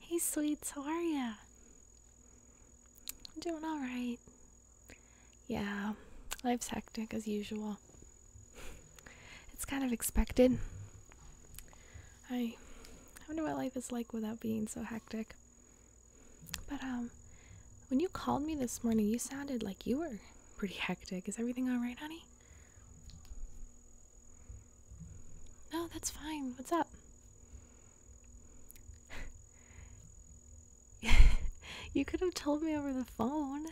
Hey, sweets, how are you? doing all right. Yeah, life's hectic as usual. it's kind of expected. I wonder what life is like without being so hectic. But um, when you called me this morning, you sounded like you were pretty hectic. Is everything all right, honey? No, that's fine. What's up? you could have told me over the phone.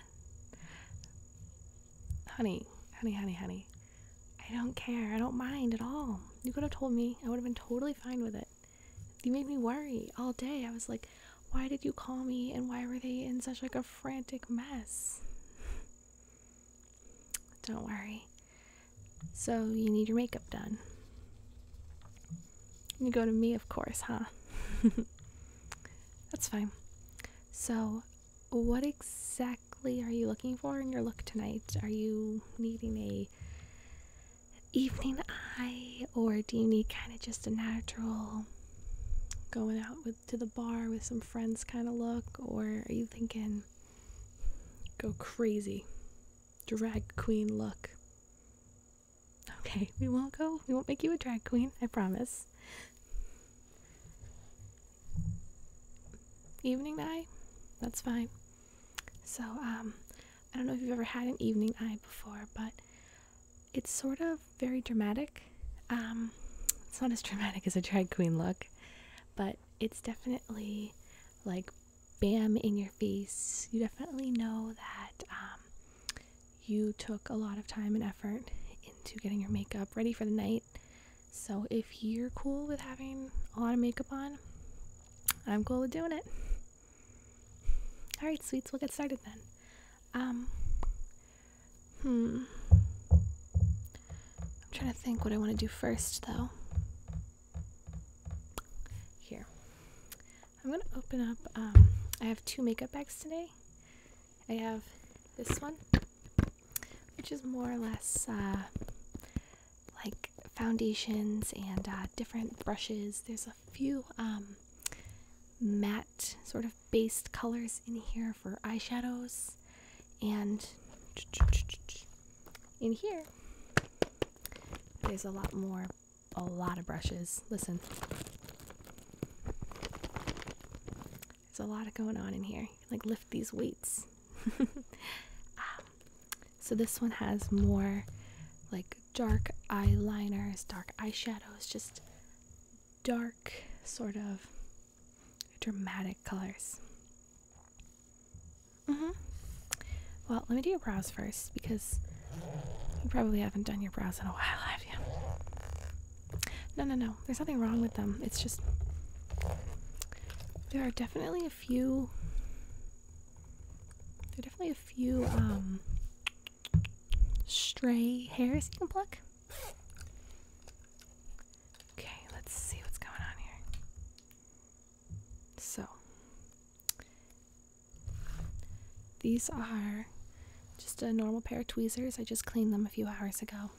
Honey, honey, honey, honey. I don't care. I don't mind at all. You could have told me. I would have been totally fine with it. You made me worry all day. I was like, why did you call me and why were they in such like a frantic mess? don't worry. So you need your makeup done. You go to me, of course, huh? That's fine. So, what exactly are you looking for in your look tonight? Are you needing a evening eye or do you need kind of just a natural going out with to the bar with some friends kind of look or are you thinking Go crazy. Drag queen look. Okay, we won't go. We won't make you a drag queen, I promise. Evening eye? That's fine. So, um, I don't know if you've ever had an evening eye before, but it's sort of very dramatic. Um, it's not as dramatic as a drag queen look, but it's definitely like bam in your face. You definitely know that um, you took a lot of time and effort into getting your makeup ready for the night. So if you're cool with having a lot of makeup on, I'm cool with doing it. All right, sweets, we'll get started then. Um, Hmm. I'm trying to think what I want to do first, though. Here. I'm going to open up. Um, I have two makeup bags today. I have this one, which is more or less uh, like foundations and uh, different brushes. There's a few um, matte sort of based colors in here for eyeshadows and in here, there's a lot more, a lot of brushes. Listen, there's a lot of going on in here. like lift these weights. Um, so this one has more like dark eyeliners, dark eyeshadows, just dark sort of dramatic colors. hmm. Well, let me do your brows first because you probably haven't done your brows in a while, have you? No, no, no. There's nothing wrong with them. It's just. There are definitely a few. There are definitely a few, um. stray hairs you can pluck. Okay, let's see what's going on here. So, these are just a normal pair of tweezers. I just cleaned them a few hours ago.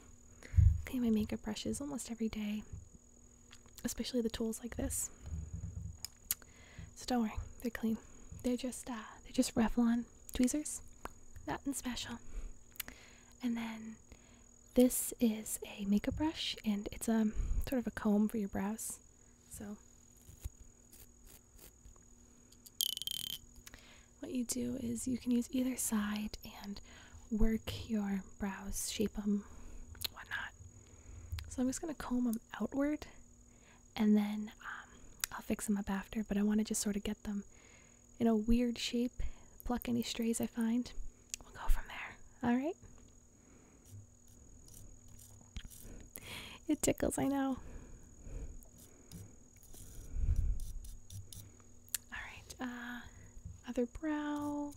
Clean my makeup brushes almost every day, especially the tools like this. So don't worry, they're clean. They're just uh, they're just Revlon tweezers, nothing special. And then this is a makeup brush and it's a um, sort of a comb for your brows. So what you do is you can use either side and work your brows, shape them, whatnot. So I'm just going to comb them outward and then um, I'll fix them up after, but I want to just sort of get them in a weird shape, pluck any strays I find. We'll go from there. Alright? It tickles, I know. Alright, uh, other brow.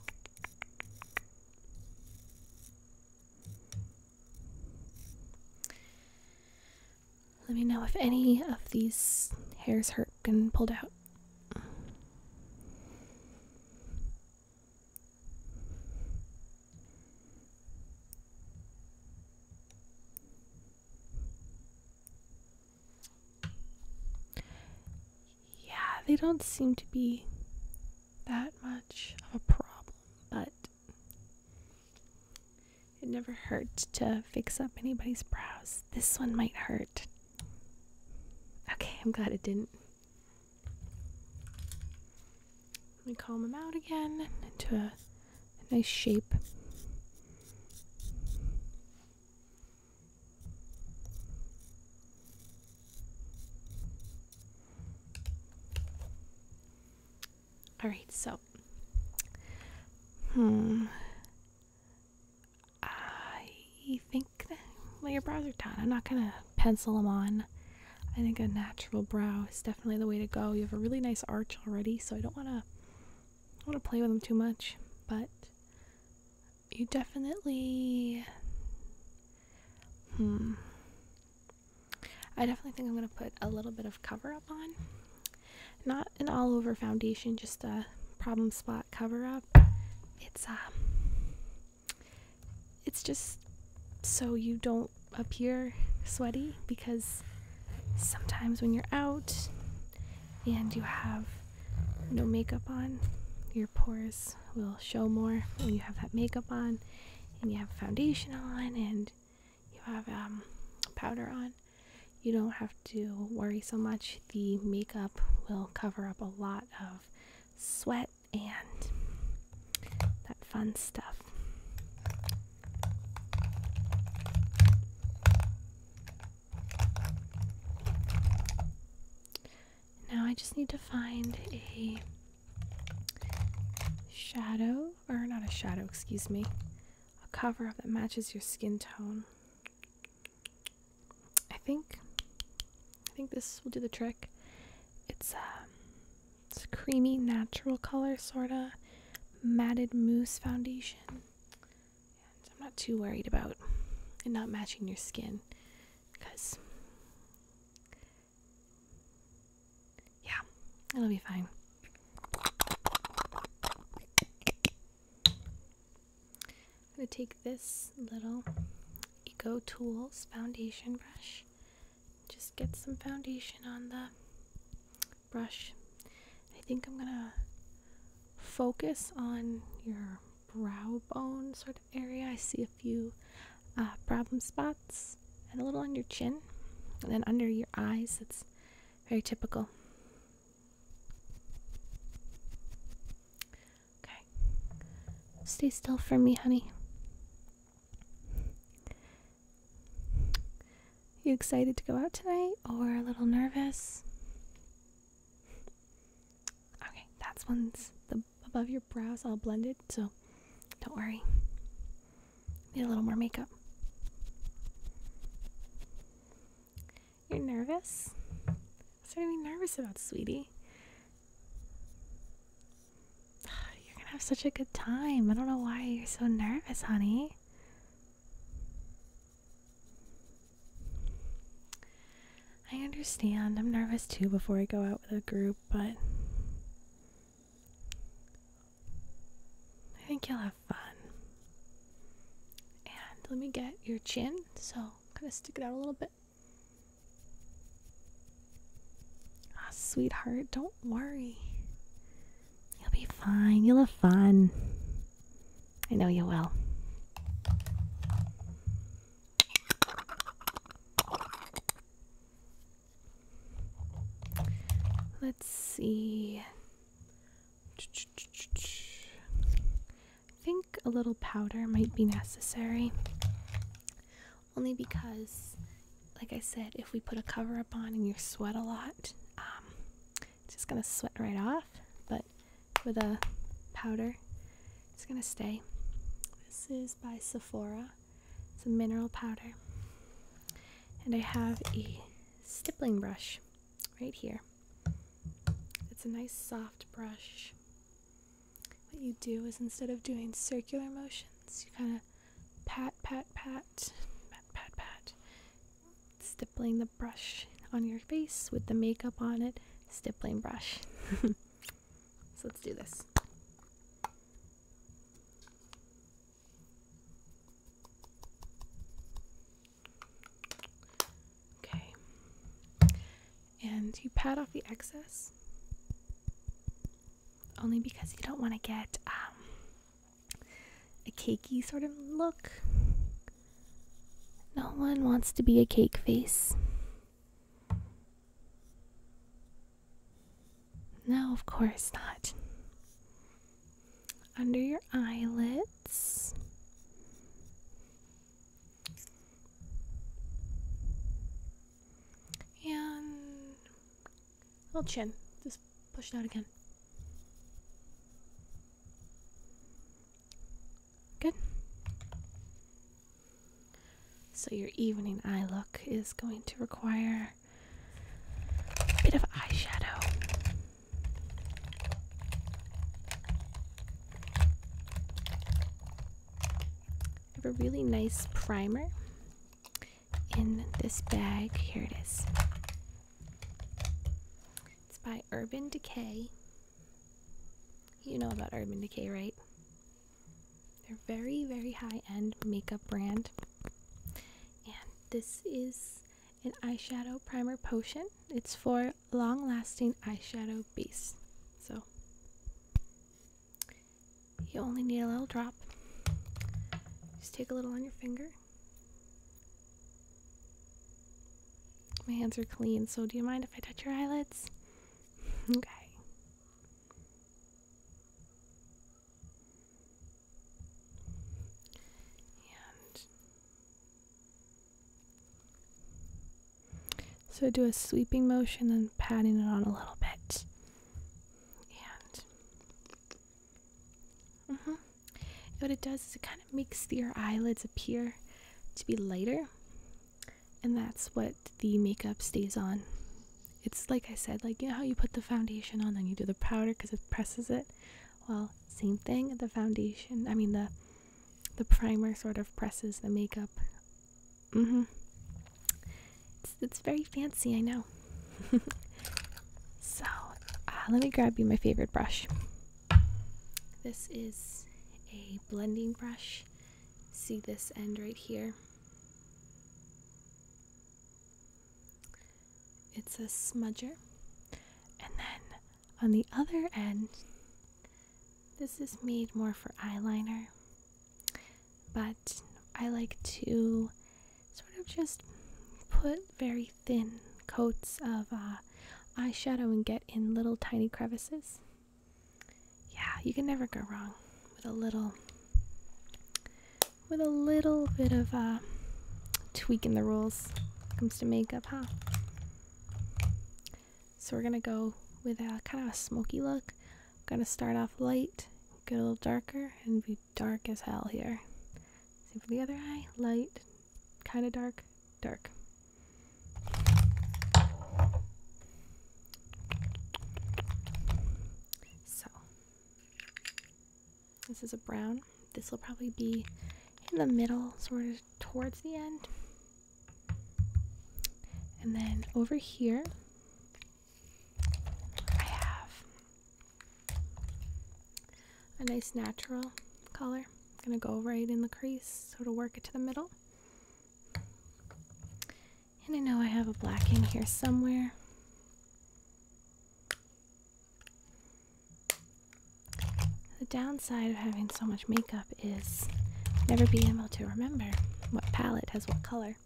Let me know if any of these hairs hurt and pulled out. Yeah, they don't seem to be that much of a problem, but it never hurts to fix up anybody's brows. This one might hurt. Okay, I'm glad it didn't. Let me calm him out again into a, a nice shape. All right, so, hmm, I think lay your brows are done. I'm not gonna pencil them on. I think a natural brow is definitely the way to go. You have a really nice arch already, so I don't wanna wanna play with them too much, but you definitely hmm. I definitely think I'm gonna put a little bit of cover up on. Not an all over foundation, just a problem spot cover up. It's um it's just so you don't appear sweaty because sometimes when you're out and you have no makeup on, your pores will show more when you have that makeup on and you have foundation on and you have um, powder on you don't have to worry so much. The makeup will cover up a lot of sweat and that fun stuff. Now I just need to find a shadow, or not a shadow, excuse me, a cover up that matches your skin tone. I think I think this will do the trick. It's um it's a creamy natural color sorta matted mousse foundation. I'm not too worried about it not matching your skin because yeah, it'll be fine. I'm going to take this little Eco Tools foundation brush, just get some foundation on the brush. I think I'm going to focus on your brow bone sort of area. I see a few uh, problem spots and a little on your chin and then under your eyes. That's very typical. Okay. Stay still for me, honey. You excited to go out tonight or a little nervous? Okay, that's one's the above your brows all blended, so don't worry. Need a little more makeup. You're nervous? What's there to be nervous about, sweetie? You're gonna have such a good time. I don't know why you're so nervous, honey. I understand. I'm nervous too before I go out with a group, but I think you'll have fun. And let me get your chin, so kind of stick it out a little bit. Ah, sweetheart, don't worry. You'll be fine. You'll have fun. I know you will. Let's see. I think a little powder might be necessary. Only because, like I said, if we put a cover up on and you sweat a lot, um, it's just gonna sweat right off. But with a powder, it's gonna stay. This is by Sephora. It's a mineral powder. And I have a stippling brush right here. It's a nice soft brush. What you do is instead of doing circular motions, you kind of pat, pat, pat, pat, pat, pat, stippling the brush on your face with the makeup on it, stippling brush. so let's do this. Okay. And you pat off the excess only because you don't want to get um, a cakey sort of look. No one wants to be a cake face. No, of course not under your eyelids. And little chin. Just push it out again. Good. So your evening eye look is going to require a bit of eyeshadow. I have a really nice primer in this bag. Here it is. It's by Urban Decay. You know about Urban Decay, right? They're very, very high end makeup brand. And this is an eyeshadow primer potion. It's for long lasting eyeshadow base. So you only need a little drop. Just take a little on your finger. My hands are clean, so do you mind if I touch your eyelids? okay. And so do a sweeping motion and patting it on a little bit. And. Mm-hmm. What it does is it kind of makes your eyelids appear to be lighter, and that's what the makeup stays on it's like I said, like you know how you put the foundation on, then you do the powder because it presses it. Well, same thing. The foundation, I mean the the primer, sort of presses the makeup. Mm-hmm. It's it's very fancy, I know. so, uh, let me grab you my favorite brush. This is a blending brush. See this end right here it's a smudger. And then on the other end, this is made more for eyeliner, but I like to sort of just put very thin coats of uh, eyeshadow and get in little tiny crevices. Yeah, you can never go wrong with a little with a little bit of uh, tweaking the rules comes to makeup, huh? So we're gonna go with a kind of a smoky look. gonna start off light, get a little darker, and be dark as hell here. Same for the other eye, light, kind of dark, dark. So this is a brown. This will probably be in the middle, sort of towards the end. And then over here, I have a nice natural color. I'm going to go right in the crease, sort of work it to the middle. And I know I have a black in here somewhere. The downside of having so much makeup is never being able to remember what palette has what color.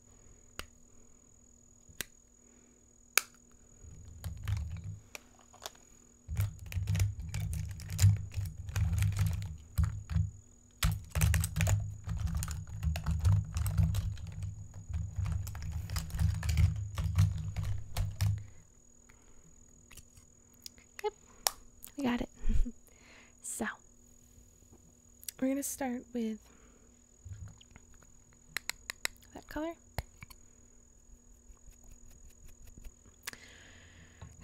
Yep, we got it. so, we're going to start with that color.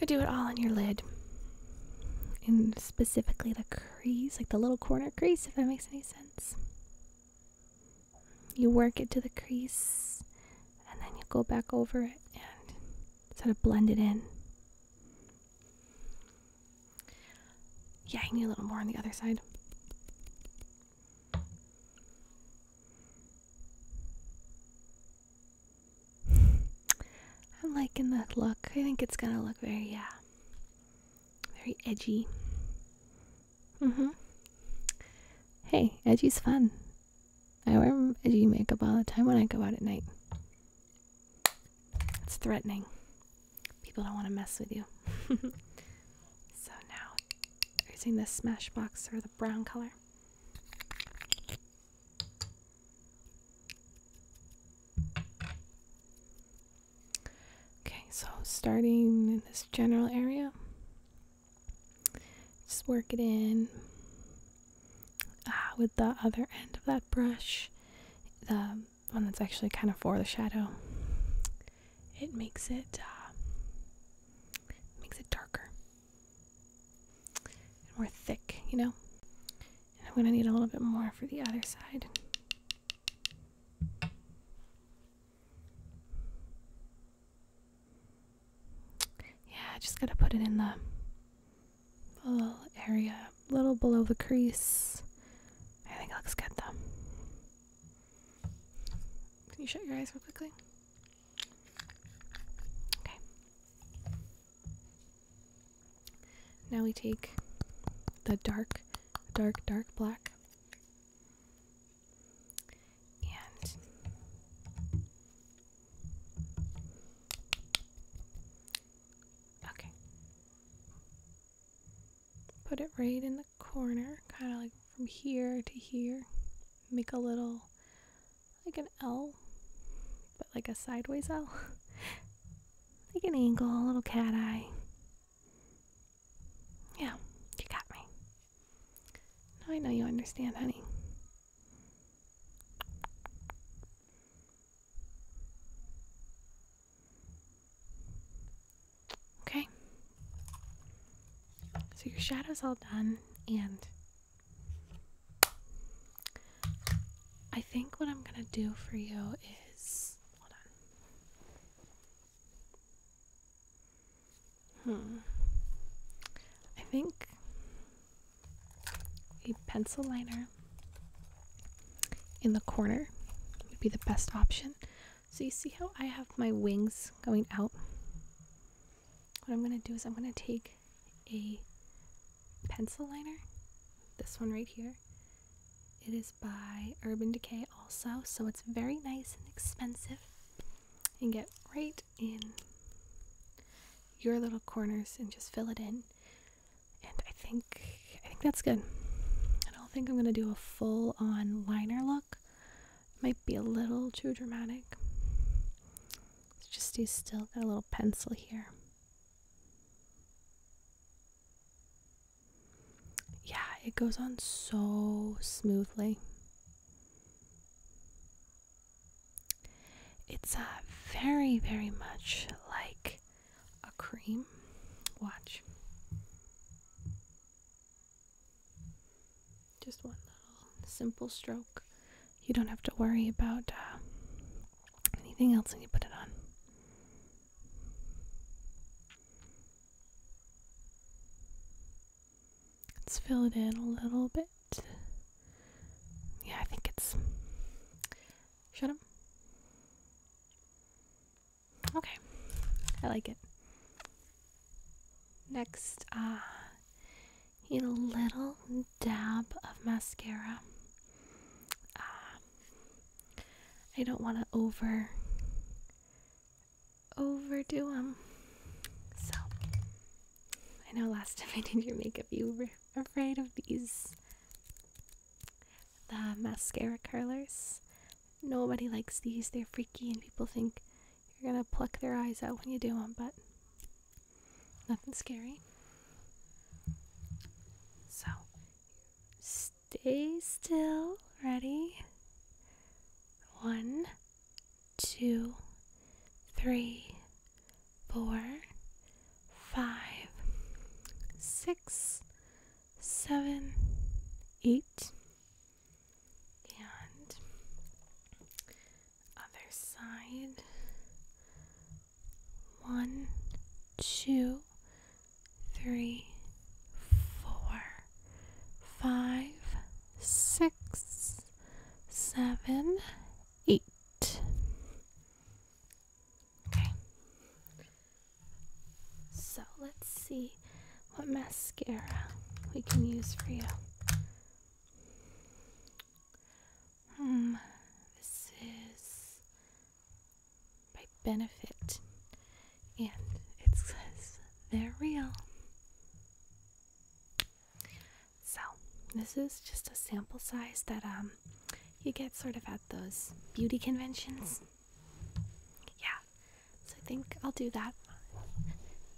I do it all on your lid. And specifically the crease, like the little corner crease, if that makes any sense. You work it to the crease and then you go back over it and sort of blend it in. Yeah, I need a little more on the other side. I'm liking the look. I think it's gonna look very, yeah, very edgy. Mm-hmm. Hey, edgy's fun. I wear edgy makeup all the time when I go out at night. It's threatening. People don't want to mess with you. so now, using the Smashbox or the brown color. Okay, so starting in this general area, just work it in ah, with the other end of that brush, the one that's actually kind of for the shadow. It makes it uh, makes it darker and more thick, you know. And I'm gonna need a little bit more for the other side. Yeah, I just gotta put it in the little area, a little below the crease. I think it looks good though. Can you shut your eyes real quickly? Okay. Now we take the dark, dark, dark black. And okay. Put it right in the corner, kind of like from here to here. Make a little like an L, but like a sideways L. like an angle, a little cat eye. Yeah, you got me. Now I know you understand, honey. Okay. So your shadow's all done, and I think what I'm gonna do for you is Hold on. Hmm. I think a pencil liner in the corner would be the best option. So you see how I have my wings going out? What I'm going to do is I'm going to take a pencil liner, this one right here, it is by Urban Decay also, so it's very nice and expensive. And get right in your little corners and just fill it in. And I think I think that's good. I don't think I'm gonna do a full on liner look. It might be a little too dramatic. just do still got a little pencil here yeah, it goes on so smoothly. It's very, very much like a cream. Watch. Just one little simple stroke. You don't have to worry about uh, anything else when you put it on. Let's fill it in a little bit. Yeah, I think it's. Shut up. Okay, I like it. Next, uh, a little dab of mascara. Uh, I don't want to over overdo them. So I know last time I did your makeup, you were afraid of these the mascara curlers. Nobody likes these; they're freaky, and people think you're gonna pluck their eyes out when you do them. But nothing scary. So Stay still. Ready? One, two, three, four, five, six, seven, eight, and other side. One, two, three, four, five, six, seven, eight. Okay. So let's see what mascara we can use for you. Hmm, this is by benefit. And it says they're real. So, this is just a sample size that um you get sort of at those beauty conventions. Yeah. So I think I'll do that.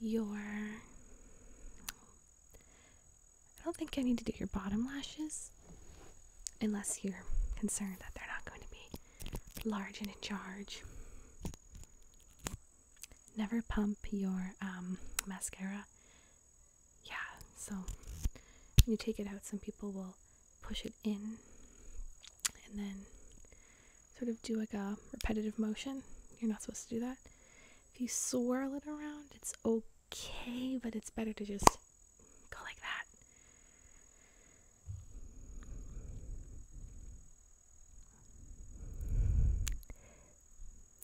Your I don't think I need to do your bottom lashes unless you're concerned that they're not going to be large and in charge. Never pump your um, mascara. Yeah, so you take it out, some people will push it in and then sort of do like a repetitive motion. You're not supposed to do that. If you swirl it around, it's okay, but it's better to just Go like that.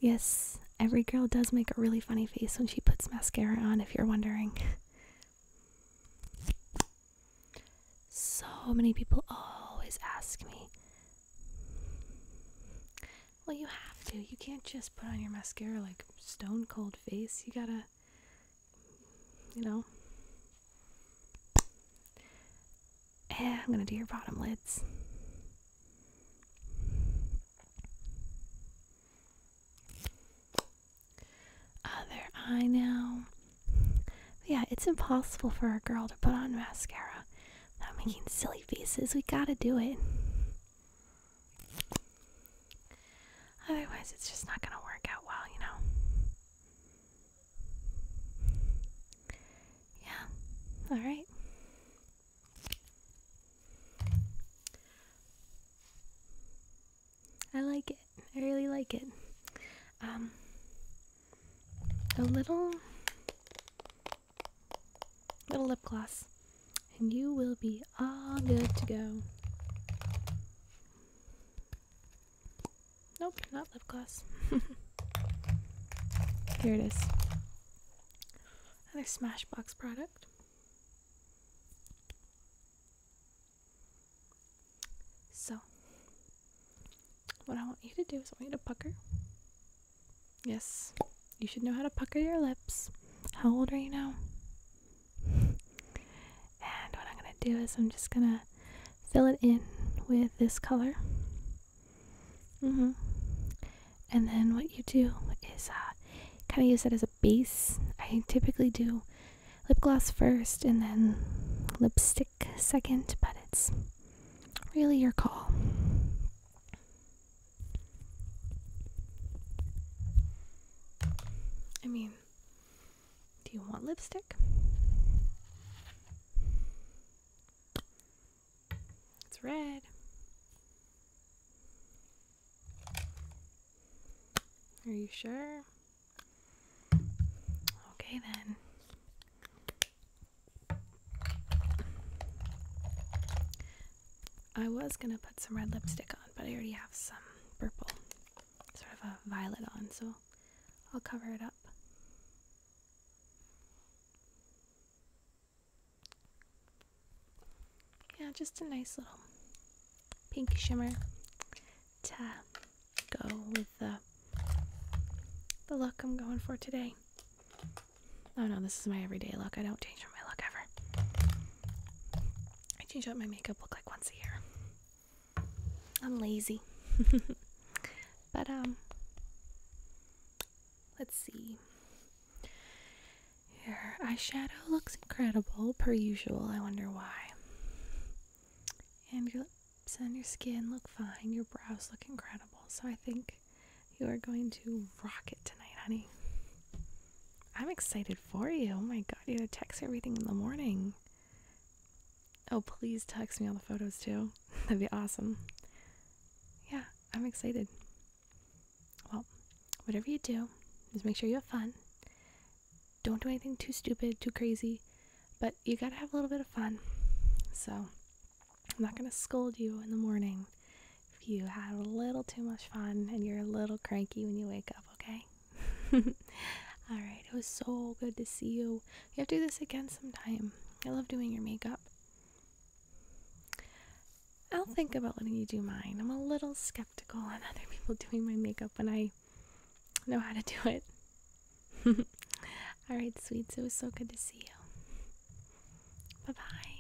Yes, every girl does make a really funny face when she puts mascara on, if you're wondering. so many people always ask me, Well, you have to. You can't just put on your mascara like stone cold face. You gotta, you know. Eh, I'm gonna do your bottom lids. Other eye now. yeah, it's impossible for a girl to put on mascara without making silly faces. We gotta do it. Otherwise, it's just not going to work out well, you know? Yeah, alright. I like it. I really like it. Um, a little, little lip gloss and you will be all good to go. Nope, not lip gloss. Here it is. Another Smashbox product. So, what I want you to do is I want you to pucker. Yes, you should know how to pucker your lips. How old are you now? and what I'm going to do is I'm just going to fill it in with this color. Mm-hmm. And then what you do is uh, kind of use it as a base. I typically do lip gloss first and then lipstick second, but it's really your call. I mean, do you want lipstick? It's red. Are you sure? Okay then. I was gonna put some red lipstick on, but I already have some purple, sort of a violet on, so I'll cover it up. Yeah, just a nice little pink shimmer to go with the the look I'm going for today. Oh no, this is my everyday look. I don't change my look ever. I change up my makeup look like once a year. I'm lazy. but, um, let's see. Your eyeshadow looks incredible, per usual. I wonder why. And your lips and your skin look fine. Your brows look incredible. So I think you are going to rock it tonight, honey. I'm excited for you. Oh my god, you gotta text everything in the morning. Oh, please text me all the photos too. That'd be awesome. Yeah, I'm excited. Well, whatever you do, just make sure you have fun. Don't do anything too stupid, too crazy, but you gotta have a little bit of fun. So, I'm not gonna scold you in the morning if you had a little too much fun and you're a little cranky when you wake up, okay? All right, it was so good to see you. We have to do this again sometime. I love doing your makeup. I'll think about letting you do mine. I'm a little skeptical on other people doing my makeup when I know how to do it. All right, sweets, it was so good to see you. Bye bye.